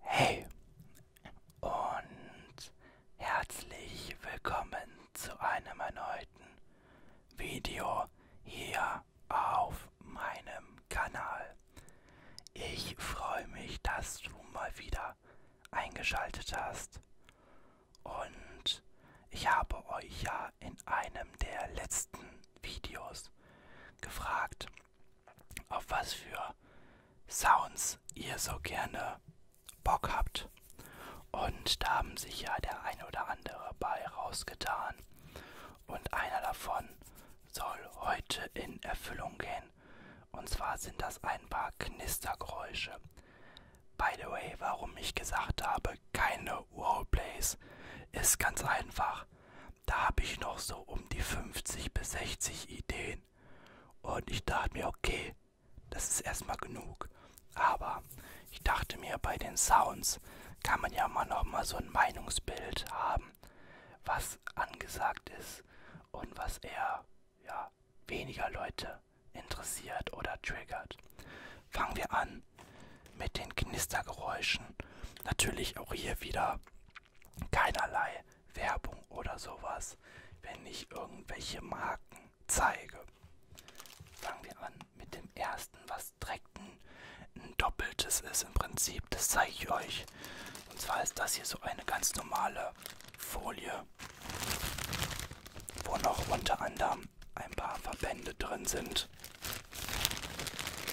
Hey und herzlich willkommen zu einem erneuten Video hier auf meinem Kanal. Ich freue mich, dass du mal wieder eingeschaltet hast. Und ich habe euch ja in einem der letzten Videos gefragt, auf was für Sounds ihr so gerne Bock habt. Und da haben sich ja der eine oder andere bei rausgetan. Und einer davon soll heute in Erfüllung gehen. Und zwar sind das ein paar Knistergeräusche. By the way, warum ich gesagt habe, keine Roleplays, ist ganz einfach da habe ich noch so um die 50 bis 60 Ideen. Und ich dachte mir, okay, das ist erstmal genug. Aber ich dachte mir, bei den Sounds kann man ja mal nochmal so ein Meinungsbild haben, was angesagt ist und was eher ja, weniger Leute interessiert oder triggert. Fangen wir an mit den Knistergeräuschen. Natürlich auch hier wieder keinerlei Werbung oder sowas, wenn ich irgendwelche Marken zeige. Fangen wir an mit dem ersten, was direkt ein, ein doppeltes ist im Prinzip. Das zeige ich euch. Und zwar ist das hier so eine ganz normale Folie, wo noch unter anderem ein paar Verbände drin sind.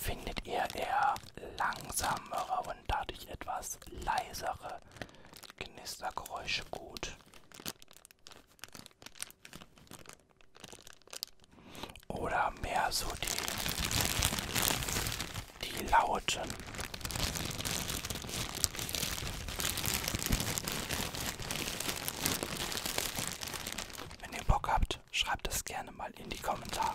Findet ihr eher langsamere und dadurch etwas leisere Knistergeräusche gut? Oder mehr so die, die Lauten. Wenn ihr Bock habt, schreibt es gerne mal in die Kommentare.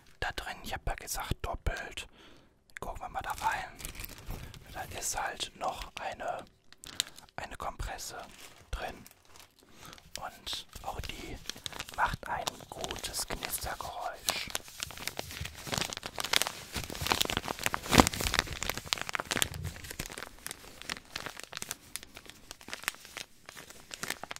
da drin, ich habe ja gesagt doppelt. Gucken wir mal da rein. Da ist halt noch eine, eine Kompresse drin. Und auch die macht ein gutes Knistergeräusch.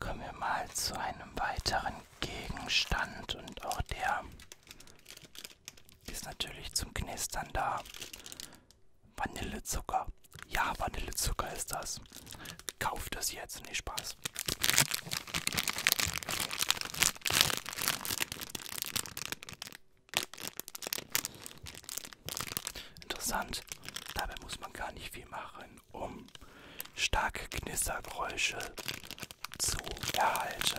Kommen wir mal zu einem weiteren Gegenstand und auch der ist natürlich zum Knistern da. Vanillezucker. Ja, Vanillezucker ist das. Kauft es jetzt, nicht nee, Spaß. Interessant, dabei muss man gar nicht viel machen, um starke Knistergeräusche zu erhalten.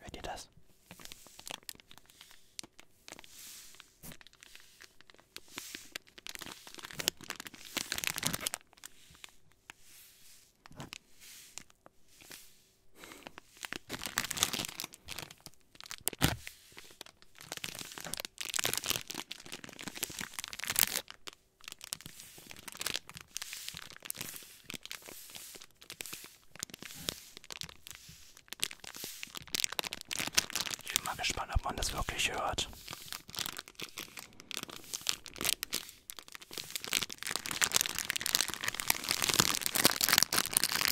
Hört ihr das? Ich bin mal gespannt, ob man das wirklich hört.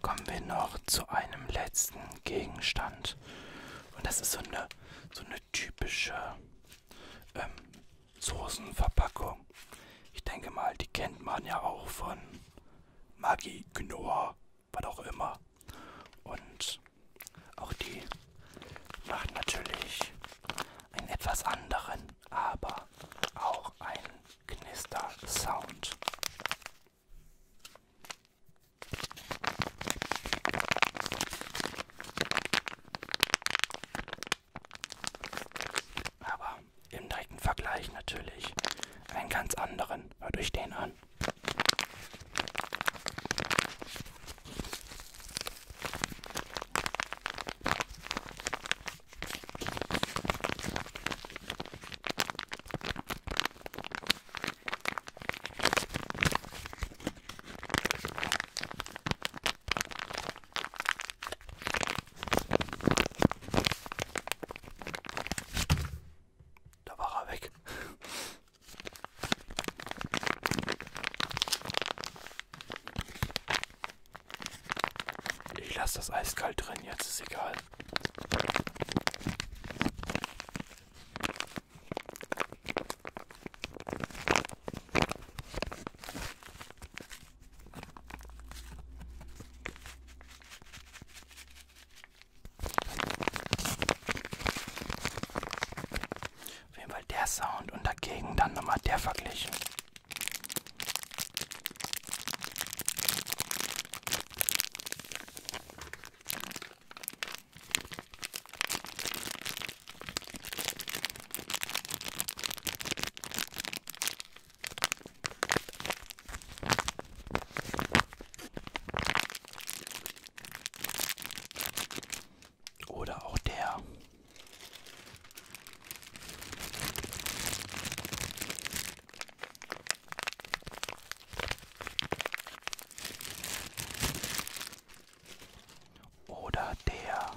Kommen wir noch zu einem letzten Gegenstand. Und das ist so eine, so eine typische ähm, Soßenverpackung. Ich denke mal, die kennt man ja auch von Magi, Gnoa, was auch immer. Und auch die macht natürlich einen etwas anderen, aber auch einen Knister-Sound. Aber im direkten Vergleich natürlich einen ganz anderen. Hört euch den an. Da war er weg. Ich lasse das eiskalt drin, jetzt ist egal. Auf jeden Fall der Sound und dagegen dann nochmal der Vergleich. Oder auch der. Oder der.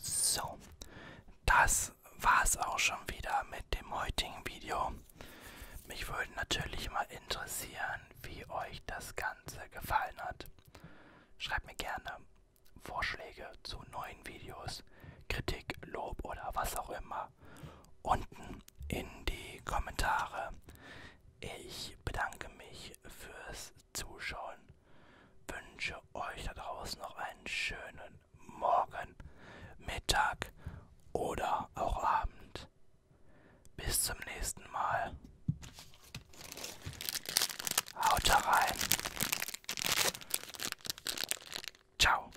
So, das war's auch schon wieder mit dem heutigen Video. Mich würde natürlich mal interessieren, wie euch das Ganze gefallen hat. Schreibt mir gerne Vorschläge zu neuen Videos, Kritik, Lob oder was auch immer unten in die Kommentare. Ich bedanke mich fürs Zuschauen, wünsche euch da draußen noch einen schönen Morgen, Mittag oder auch Abend. Bis zum nächsten Mal. Haut rein. Ciao.